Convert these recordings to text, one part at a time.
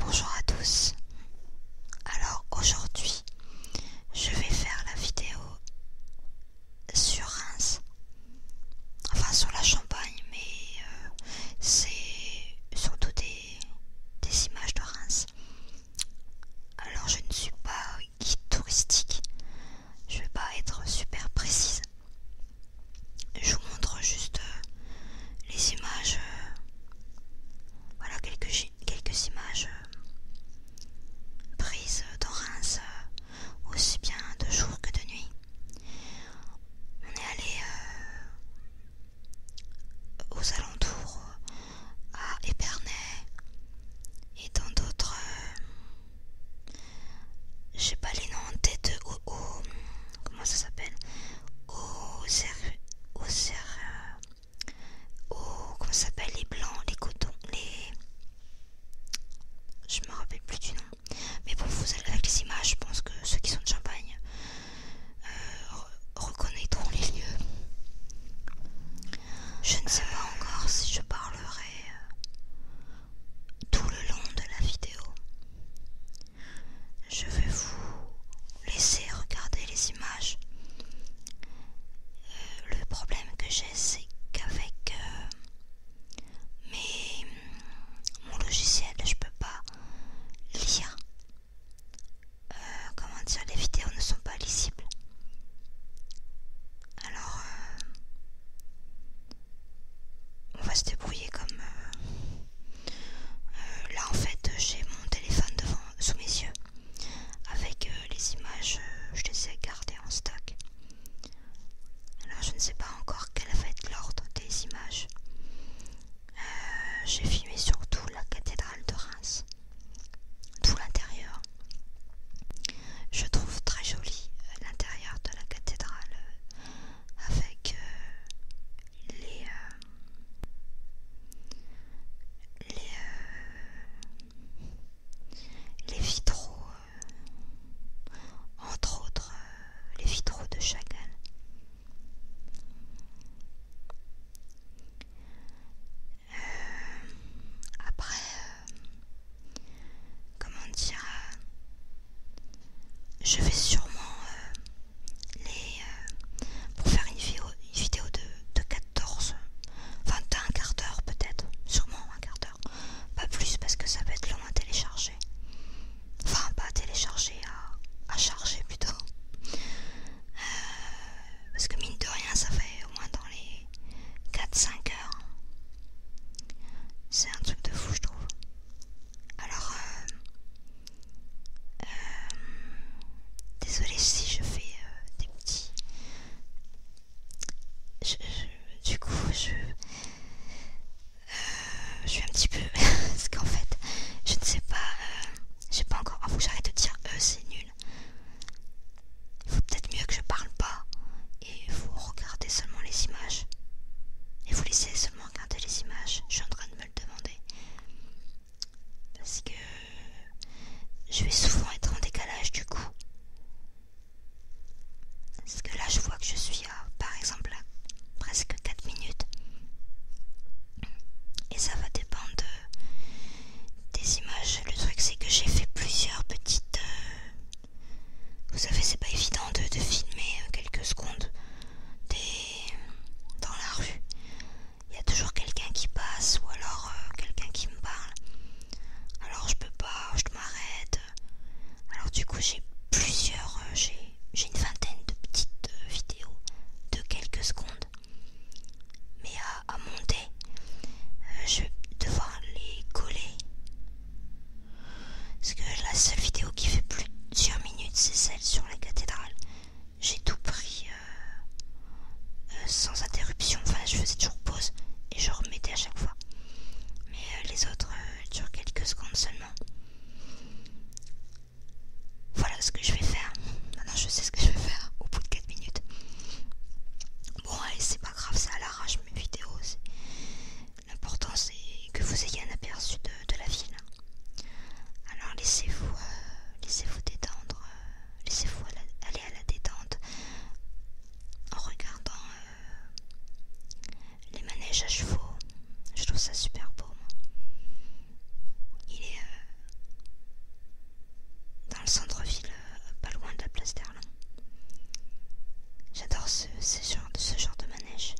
Bonjour à tous. Alors aujourd'hui, je vais faire la vidéo sur Reims. Enfin sur la Champagne, mais euh, c'est surtout des, des images de Reims. Alors je ne suis pas guide touristique, je ne vais pas être super précise. Je vous montre juste euh, les images, euh, voilà quelques, images euh, prises dans Reims, aussi bien de jour que de nuit. On est allé aux alentours, à Épernay et dans d'autres. Euh, j'ai pas les noms en tête. comment ça s'appelle Au cerf Au cer, euh, Comment ça s'appelle Les blancs, les cotons, les. Je me rappelle plus du nom. Mais pour vous allez avec les images, je pense que ceux qui sont de Champagne euh, reconnaîtront les lieux. Je ne sais pas encore si je parlerai euh, tout le long de la vidéo. Je vais vous laisser regarder les images. Euh, le problème que j'ai, c'est qu'avec mes mon logiciel, je peux pas lire euh, comment dire, les vidéos ne sont pas lisibles. Alors, euh, on va se débrouiller comme... Euh, là, en fait, j'ai mon téléphone devant, sous mes yeux. Avec les images, je les ai gardées en stock. Alors, je ne sais pas encore quel va être l'ordre des images. J'ai filmé surtout la cathédrale de Reims, tout l'intérieur. Je trouve très joli euh, l'intérieur de la cathédrale euh, avec euh, les, les, vitraux, entre autres les vitraux de Chagall. Euh, après, euh, comment dire, euh, je vais sûrement les pour faire une vidéo, de, 14, enfin un quart d'heure peut-être, sûrement un quart d'heure, pas plus parce que ça va être long à télécharger, enfin pas à télécharger, à charger plutôt parce que mine de rien, ça fait au moins dans les 4-5 heures. C'est un truc de fou, je trouve. Alors, désolée euh, euh, désolé si je fais euh, des petits. du coup, je. je suis un petit peu. parce qu'en fait, je ne sais pas. J'ai pas encore. Ah, faut que j'arrête de dire E, c'est nul. Il faut peut-être mieux que je parle pas. Et vous regardez seulement les images. Et vous laissez seulement regarder les images. Je suis en train de me le demander. Parce que je vais souvent être en décalage du coup. Parce que là, je vois que je suis à, par exemple, là presque 4 minutes. Et ça va dépendre des images. Le truc c'est que j'ai fait plusieurs petites... Euh, vous savez, c'est pas évident de, filmer euh, quelques secondes dans la rue. Il y a toujours quelqu'un qui passe ou alors euh, quelqu'un qui me parle. Alors je peux pas, je m'arrête. Alors du coup j'ai plusieurs... j'ai j'ai une vingtaine de petites euh, vidéos de quelques secondes, mais euh, à, monter, euh, je vais devoir les coller. Parce que la seule vidéo qui fait plus d'une minute, c'est celle sur la cathédrale. J'ai tout pris sans interruption. Enfin, je faisais toujours pause et je remettais à chaque fois. Mais les autres durent quelques secondes seulement. Voilà ce que je vais faire. Maintenant je sais ce que je vais faire au bout de 4 minutes. Bon allez c'est pas grave, ça à l'arrache mes vidéos. L'important c'est que vous ayez un aperçu de, la ville. Alors laissez-vous euh, laissez-vous détendre, euh, laissez-vous aller à la détente en regardant euh, les manèges à chevaux. Je trouve ça super beau. Moi il est euh, dans le centre-ville, euh, pas loin de la place d'Erlon. J'adore ce, genre, de manège.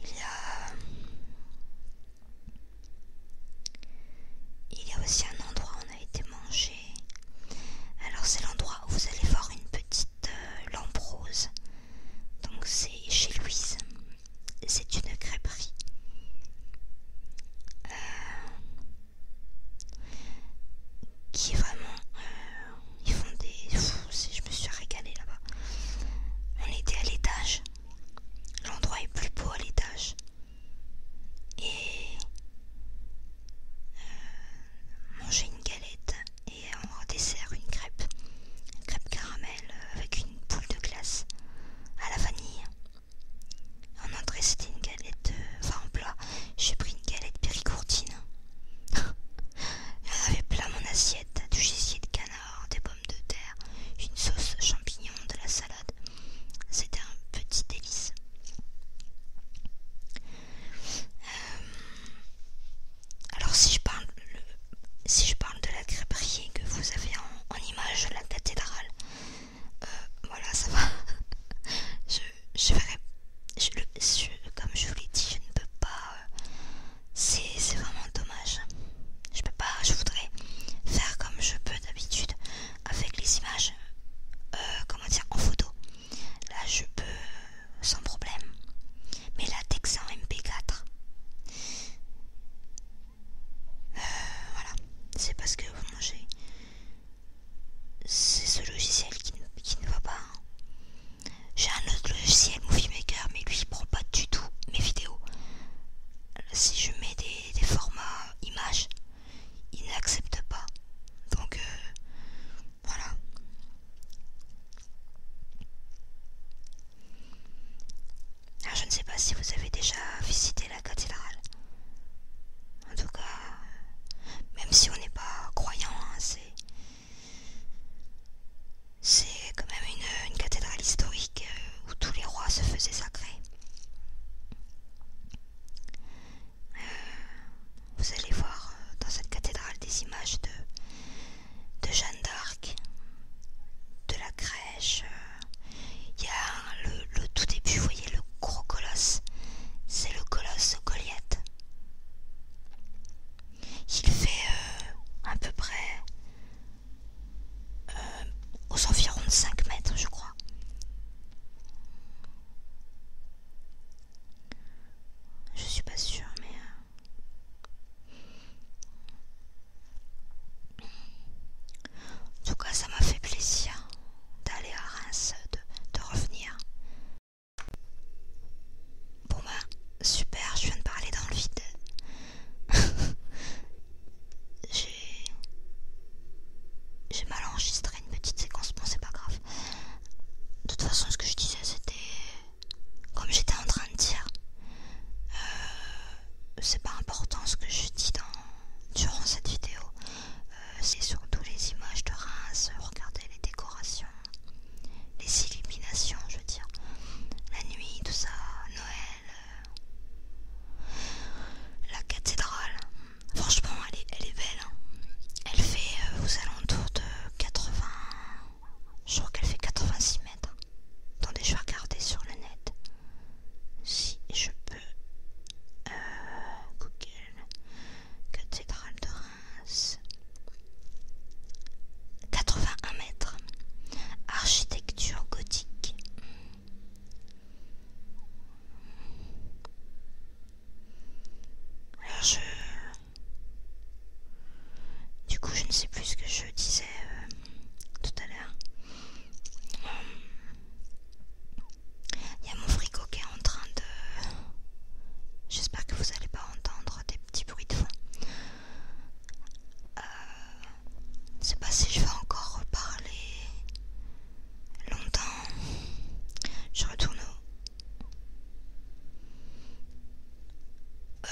Il y a... Il y a aussi un endroit où on a été mangé. Alors c'est l'endroit où vous allez voir une petite euh, lamprose. Donc c'est chez Louise. C'est une crêperie. Euh, qui est vraiment... Euh, ils font des... je me suis régalée là-bas. On était à l'étage. L'endroit est plus beau à l'étage. Et... Euh, manger une galette et en dessert une crêpe, une crêpe caramel euh, avec une boule de glace à la vanille. En entrée c'était une galette, euh, enfin en plat, j'ai pris une galette péricourtine. Il plein mon assiette, du gésier de canard, des pommes de terre, une sauce champignon, de la salade. C'était un petit délice. Euh, alors si je parle, si je parle de la crêperie que vous avez en, image de la cathédrale, euh, voilà ça va. je, comme je vous l'ai dit, je ne peux pas. Euh, c'est vraiment dommage. Je peux pas. Je voudrais faire comme je peux d'habitude avec les images, euh, comment dire, en photo. Là, je peux sans problème. Mais la texte en MP4. voilà, c'est parce que C'est ce logiciel qui, ne va pas. Hein. J'ai un autre logiciel, Movie Maker, mais lui il prend pas du tout mes vidéos. Si je mets des, formats images, il n'accepte pas. Donc, euh, voilà. Alors je ne sais pas si vous avez déjà visité la cathédrale. En tout cas, même si on n'est pas croyant, hein, c'est c'est quand même une, une cathédrale historique euh, où tous les rois se faisaient sacrer. Vous allez voir euh, dans cette cathédrale des images de, Jeanne d'Arc, de la crèche. Euh. Il y a le, tout début, vous voyez le gros colosse, c'est le colosse Goliath. Il fait euh, à peu près aux environs de 5 mètres, je crois. Je suis pas sûre, mais. Euh, en tout cas, ça m'a fait plaisir d'aller à Reims, de, revenir. Bon bah, super, je viens de parler dans le vide. J'ai mal enregistré petite séquence, bon c'est pas grave. De toute façon ce que je disais c'était... Comme j'étais en train de dire, euh, c'est pas important ce que je dis dans, durant cette vidéo. Euh, c'est surtout les images de Reims, regardez les décorations, les illuminations, je veux dire, la nuit, tout ça, Noël, euh, la cathédrale. Franchement, elle est, elle est belle. Hein. Elle fait euh, aux alentours de 80. Je crois qu'elle fait 86 mètres. Hein. Attendez, je vais regarder sur le net. Si je peux. Euh, Google. Cathédrale de Reims. 81 mètres. Architecture gothique. Alors je... Du coup, je ne sais plus ce que je disais euh, tout à l'heure. Il y a mon frigo qui est en train de... J'espère que vous n'allez pas entendre des petits bruits de fond. Euh, je ne sais pas si je vais encore reparler longtemps. Je retourne au... Euh,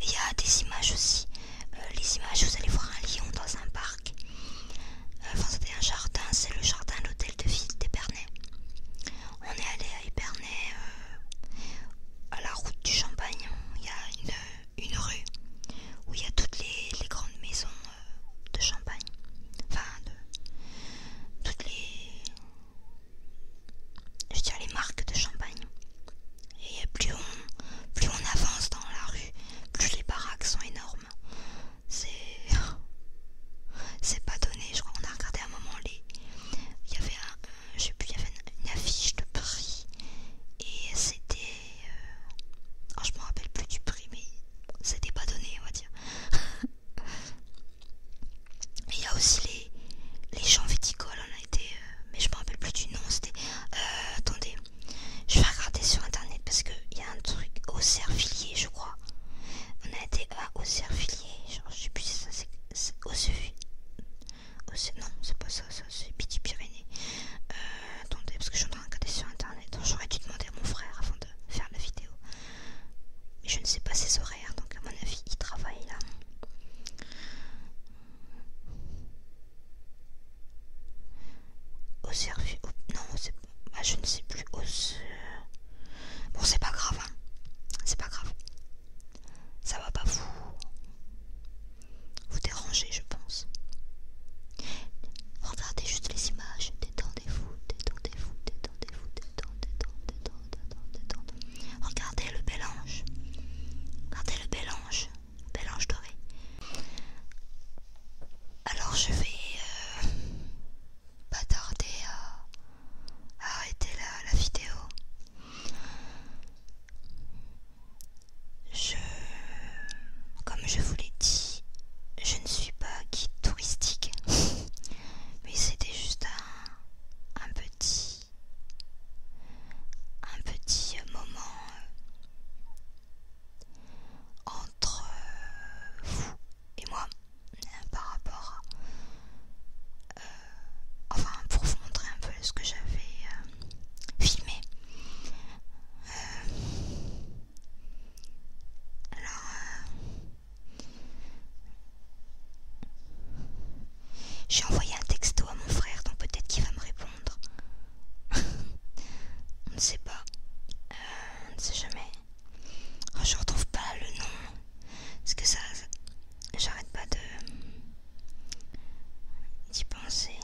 il y a des images aussi. Euh, les images, vous allez voir un lion dans un parc. Euh, enfin, c'était un jardin, c'est le jardin de l'hôtel de ville d'Epernay. On est allé à Épernay, à la route du Champagne. Il y a une, rue où il y a toutes les grandes maisons de champagne. Enfin, de toutes les. Je dirais les marques de champagne. Et plus on, plus on avance dans la rue, plus les baraques sont énormes. C'est. pas donné, je crois. qu'on a regardé un moment les. Il y avait avait une, affiche de prix. Et c'était. Euh, oh, je me rappelle plus du prix, mais c'était pas donné, on va dire. Il y a aussi les, les champs viticoles, on a été, euh, mais je me rappelle plus du nom, c'était. Euh, attendez, je vais regarder sur internet parce qu'il y a un truc au cerfilier je crois. On a été à euh, au villiers genre je sais plus si ça c'est. au Auxervilliers. Non, c'est pas ça, ça c'est Piti Pyrénées. attendez, parce que j'en regarder sur internet. J'aurais dû demander à mon frère avant de faire la vidéo. Mais je ne sais pas ses horaires, donc à mon avis, il travaille là. Au service. Non, c'est bah, je ne sais plus. Au... Bon, c'est pas grave, hein. C'est pas grave. Ça va pas vous. Vous déranger, je pense. Regardez juste les images, détendez-vous, détendez-vous, détendez-vous, détendez, détendez, détendez, détendez. Regardez le bel ange, regardez le bel ange, bel ange doré. Alors je vais euh, pas tarder à, arrêter la vidéo. Je... Comme je vous l'ai dit, je ne suis pas guide touristique. Mais c'était juste un, petit... Un petit moment euh, entre euh, vous et moi euh, par rapport à... enfin, pour vous montrer un peu ce que j'avais filmé. Alors, euh, j'ai envoyé un texto à mon frère, donc peut-être qu'il va me répondre. on ne sait pas, euh, on ne sait jamais. Oh, je ne retrouve pas le nom, Ce que ça, ça j'arrête pas de d'y penser.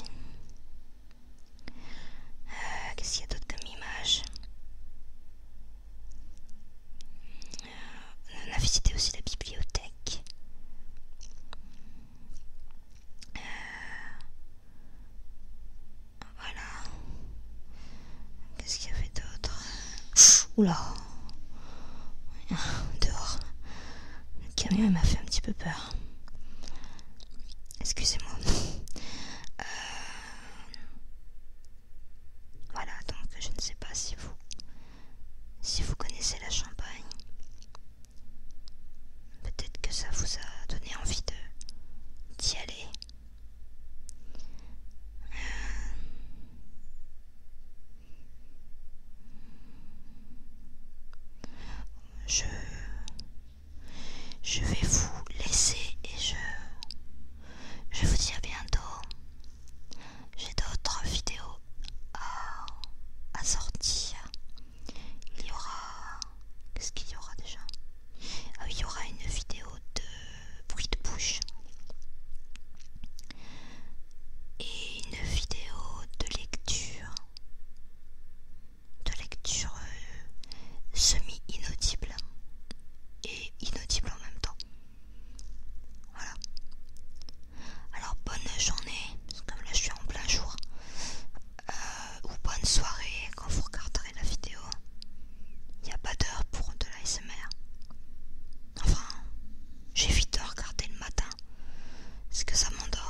Euh, qu'est-ce qu'il y a d'autre comme image euh, On a visité aussi la bibliothèque. Euh, voilà. Qu'est-ce qu'il y avait d'autre Oula Dehors. Le camion m'a fait un petit peu peur. Excusez-moi. Euh, voilà, donc je ne sais pas si vous si vous connaissez la champagne. Peut-être que ça vous a donné envie de d'y aller. Euh, je je vais vous laisser et je, je vous dis à bientôt. J'ai d'autres vidéos à, sortir. Il y aura... Qu'est-ce qu'il y aura déjà ah il y aura une vidéo de bruit de bouche et une vidéo de lecture de lecture euh, semi-inaudible et inaudible en même temps. Voilà. Alors bonne journée, parce que là je suis en plein jour. Euh, ou bonne soirée quand vous regarderez la vidéo. Il n'y a pas d'heure pour de l'ASMR. Enfin, j'ai vite regarder le matin. Parce que ça m'endort.